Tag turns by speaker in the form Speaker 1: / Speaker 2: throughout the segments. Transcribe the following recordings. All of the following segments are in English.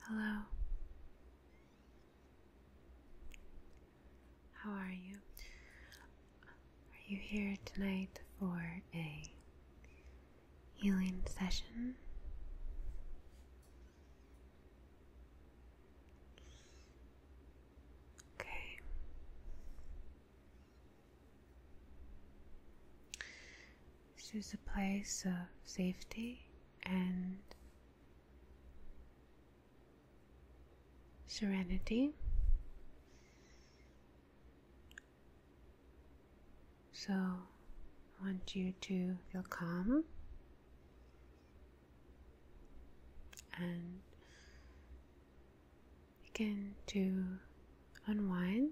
Speaker 1: Hello. How are you? Are you here tonight for a healing session? Okay. This is a place of safety and serenity. So, I want you to feel calm and begin to unwind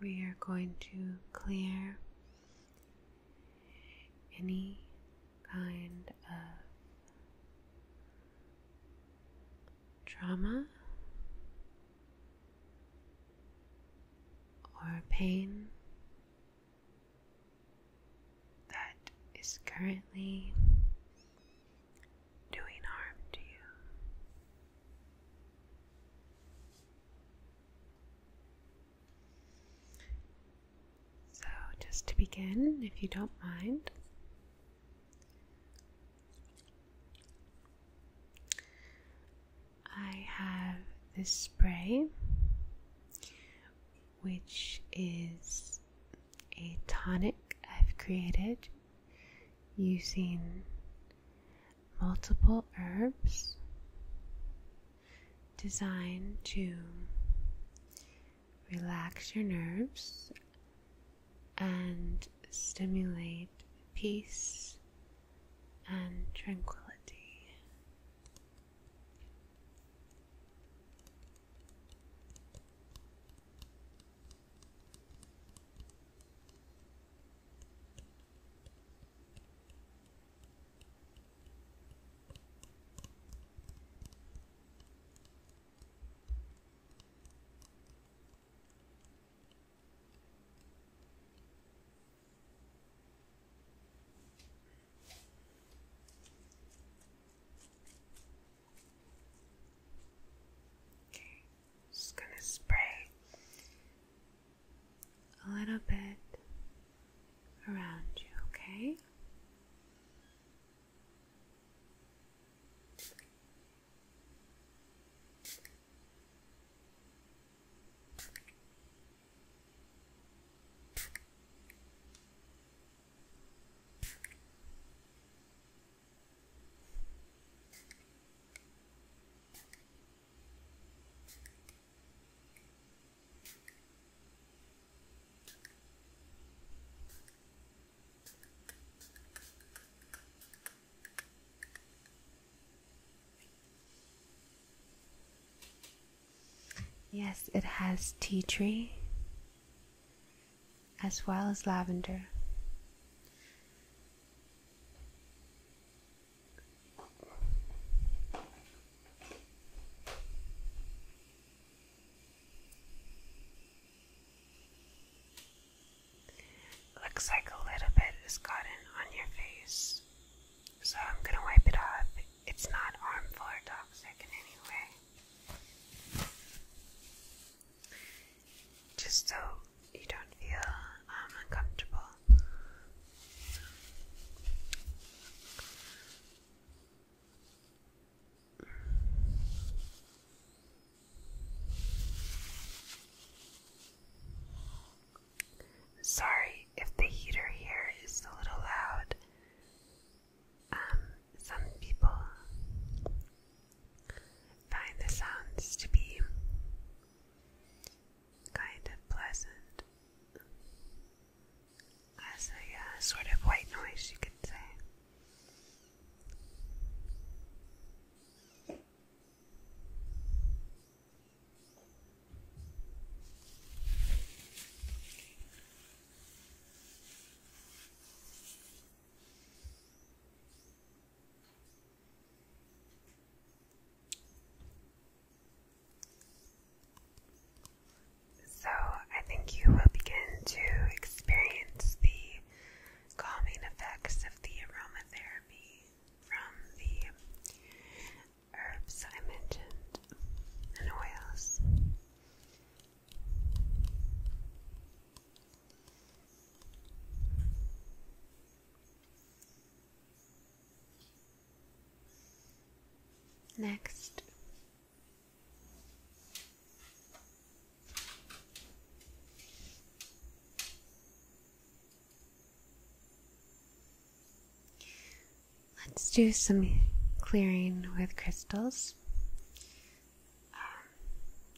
Speaker 1: we are going to clear any kind of trauma or pain that is currently doing harm to you. So, just to begin, if you don't mind, I have this spray, which is a tonic I've created using multiple herbs designed to relax your nerves and stimulate peace and tranquility. Okay, just gonna spray a little bit around you, okay? Yes, it has tea tree as well as lavender. Looks like a little bit is gotten on your face, so I'm going to wipe it off. It's not harmful or toxic in any way. Just so you don't feel um, uncomfortable. Sorry if the heater here is a little loud. Um, some people find the sounds to be kind of pleasant, as a uh, sort of white noise, you could say. So, I think you will begin to experience the calming effects of the aromatherapy from the herbs I mentioned and oils. Next, let's do some clearing with crystals. Um,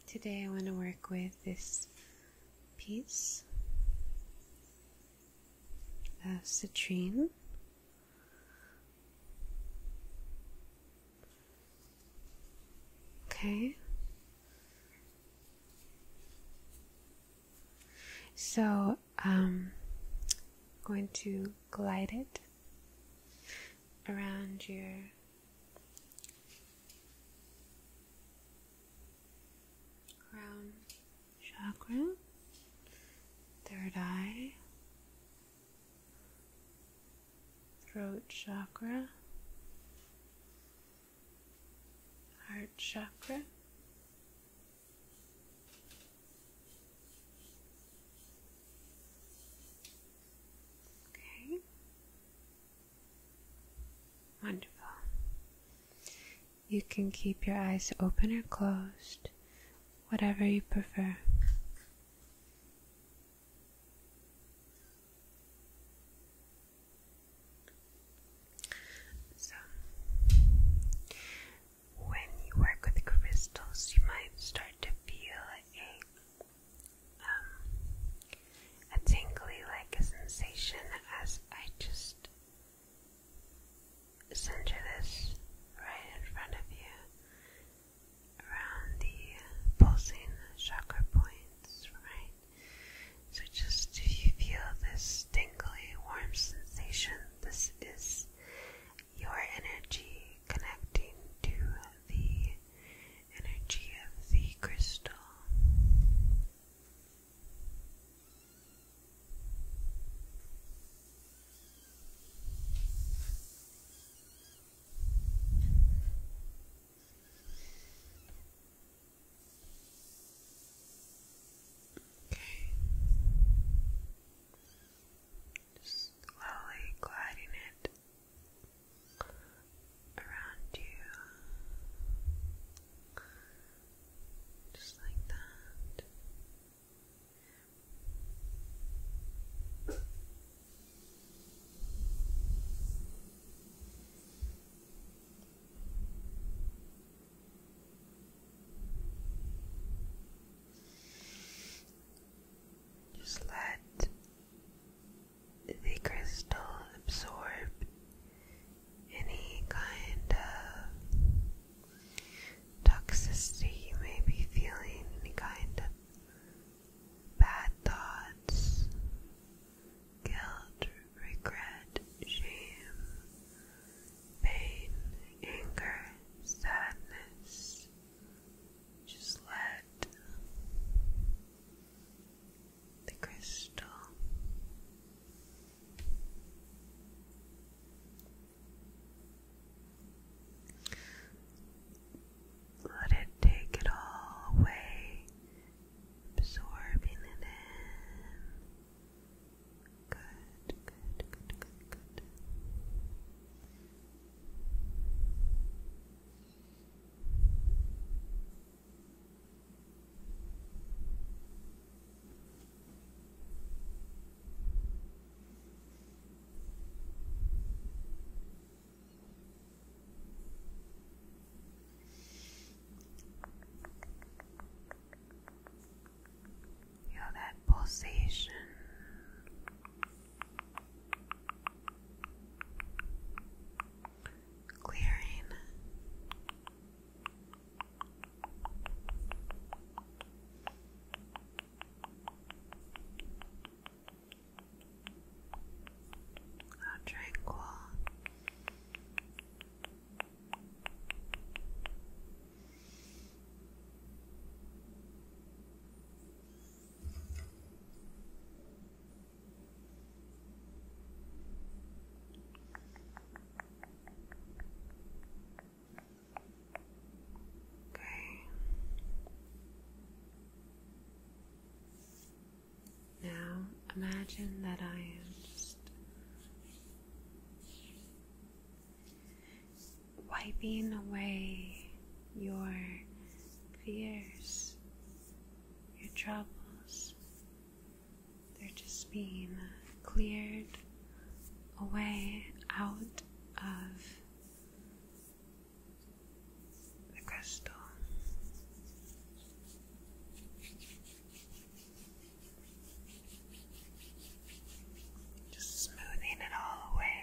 Speaker 1: today, I want to work with this piece of uh, citrine. Okay. So, um, going to glide it around your crown chakra, third eye, throat chakra, heart chakra. Okay. Wonderful. You can keep your eyes open or closed, whatever you prefer. So, when you work with crystals, you might start to feel a um, a tingly like a sensation as I just center this right in front of you around the pulsing chakra points, right? So just if you feel this tingling warm sensation, this is your energy connecting to the energy of the crystal. Okay. Just slowly gliding it around you. Just like that. Just let the crystal absorb any kind of toxicity you may be feeling, any kind of bad thoughts, guilt, regret, shame, pain, anger, sadness. Just let the crystal let it take it all away, absorbing it in. Good, good, good, good, good. Feel that pulsation. Clearing how tranquil. Okay. Now imagine that I am just wiping away your fears, your troubles, they're just being cleared away out of the crystal. Just smoothing it all away.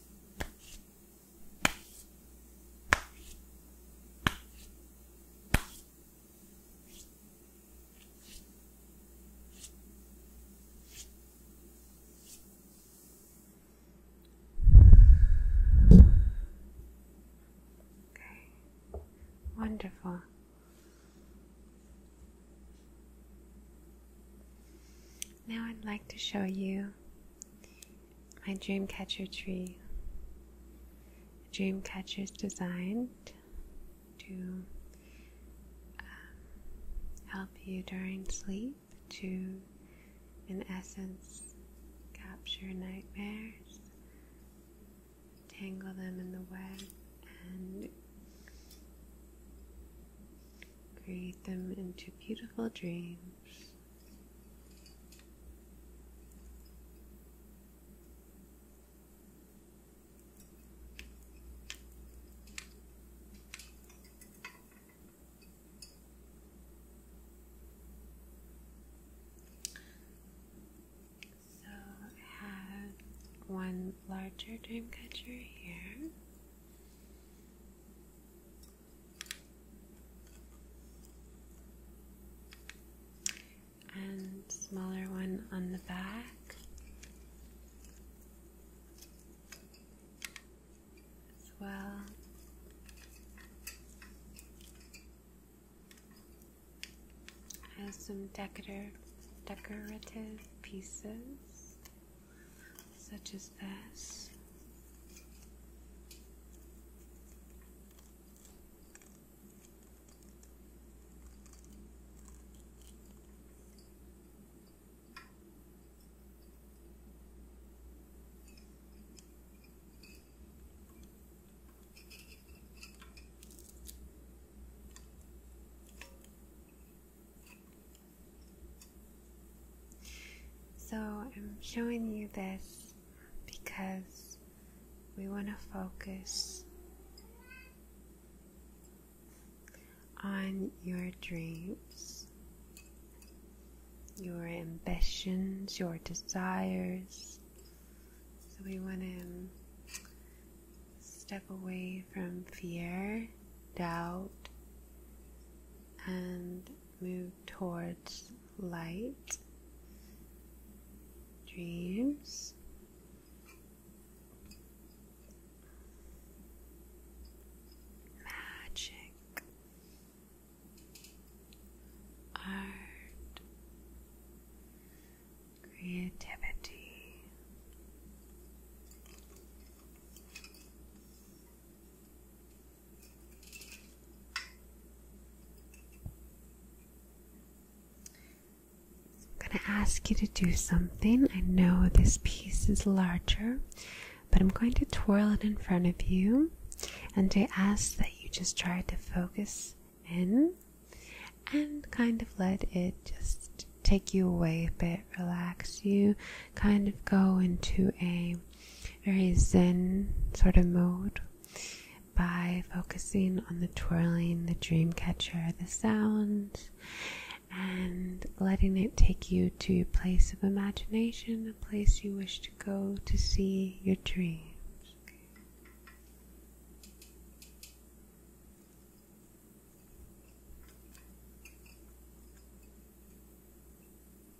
Speaker 1: Okay, wonderful. Now I'd like to show you my dreamcatcher tree. Dreamcatchers designed to um, help you during sleep to, in essence, capture nightmares, tangle them in the web, and create them into beautiful dreams. So I have one larger dream catcher here and smaller one on the back. As well. Has some decorative decorative pieces such as this. So I'm showing you this because we want to focus on your dreams, your ambitions, your desires. So we want to step away from fear, doubt, and move towards light dreams. Magic art creativity I'm going to ask you to do something. I know this piece is larger, but I'm going to twirl it in front of you. And I ask that you just try to focus in and kind of let it just take you away a bit, relax you, kind of go into a um, very zen sort of mode by focusing on the twirling, the dream catcher, the sounds, and letting it take you to a place of imagination, a place you wish to go to see your dreams.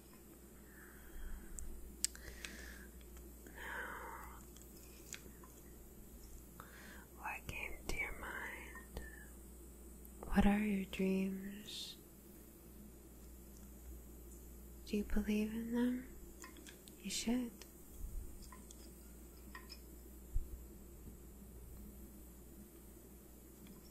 Speaker 1: Now, what your mind? What are your dreams? Do you believe in them? You should.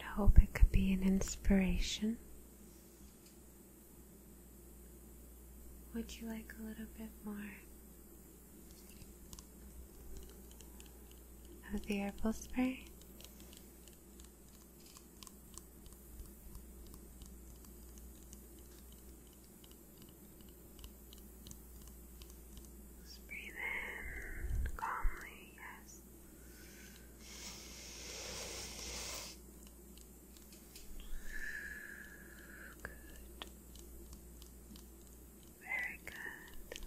Speaker 1: I hope it could be an inspiration. Would you like a little bit more of the herbal spray? Just breathe in calmly, yes. Good. Very good.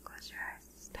Speaker 1: Okay. Close your eyes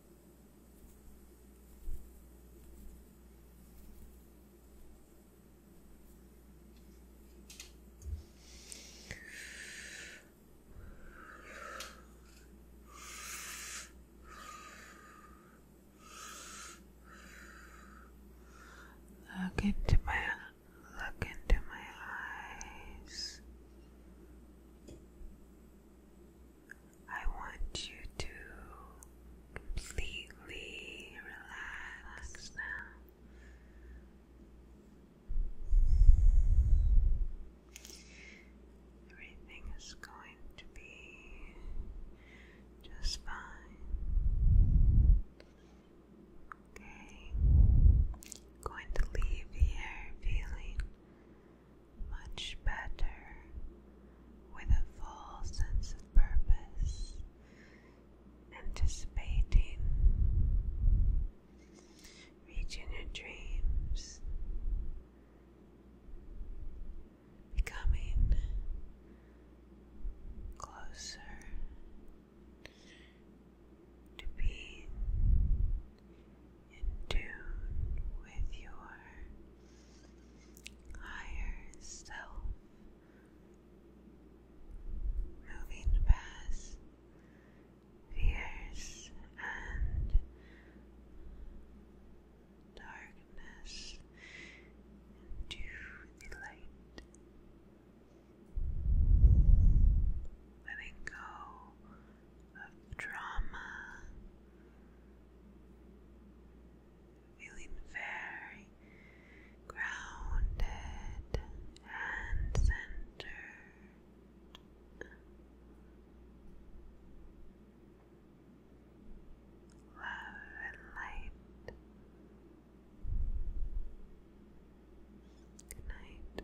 Speaker 1: Look into my look into my eyes. I want you to completely relax now. Everything is going to be just fine. Okay, I'm going to leave here feeling much better with a full sense of purpose, anticipating reaching your dreams, becoming closer to being in with your higher self, moving past fears and darkness into the light. Letting go of drama, feeling very grounded and centered. Love and light. Good night.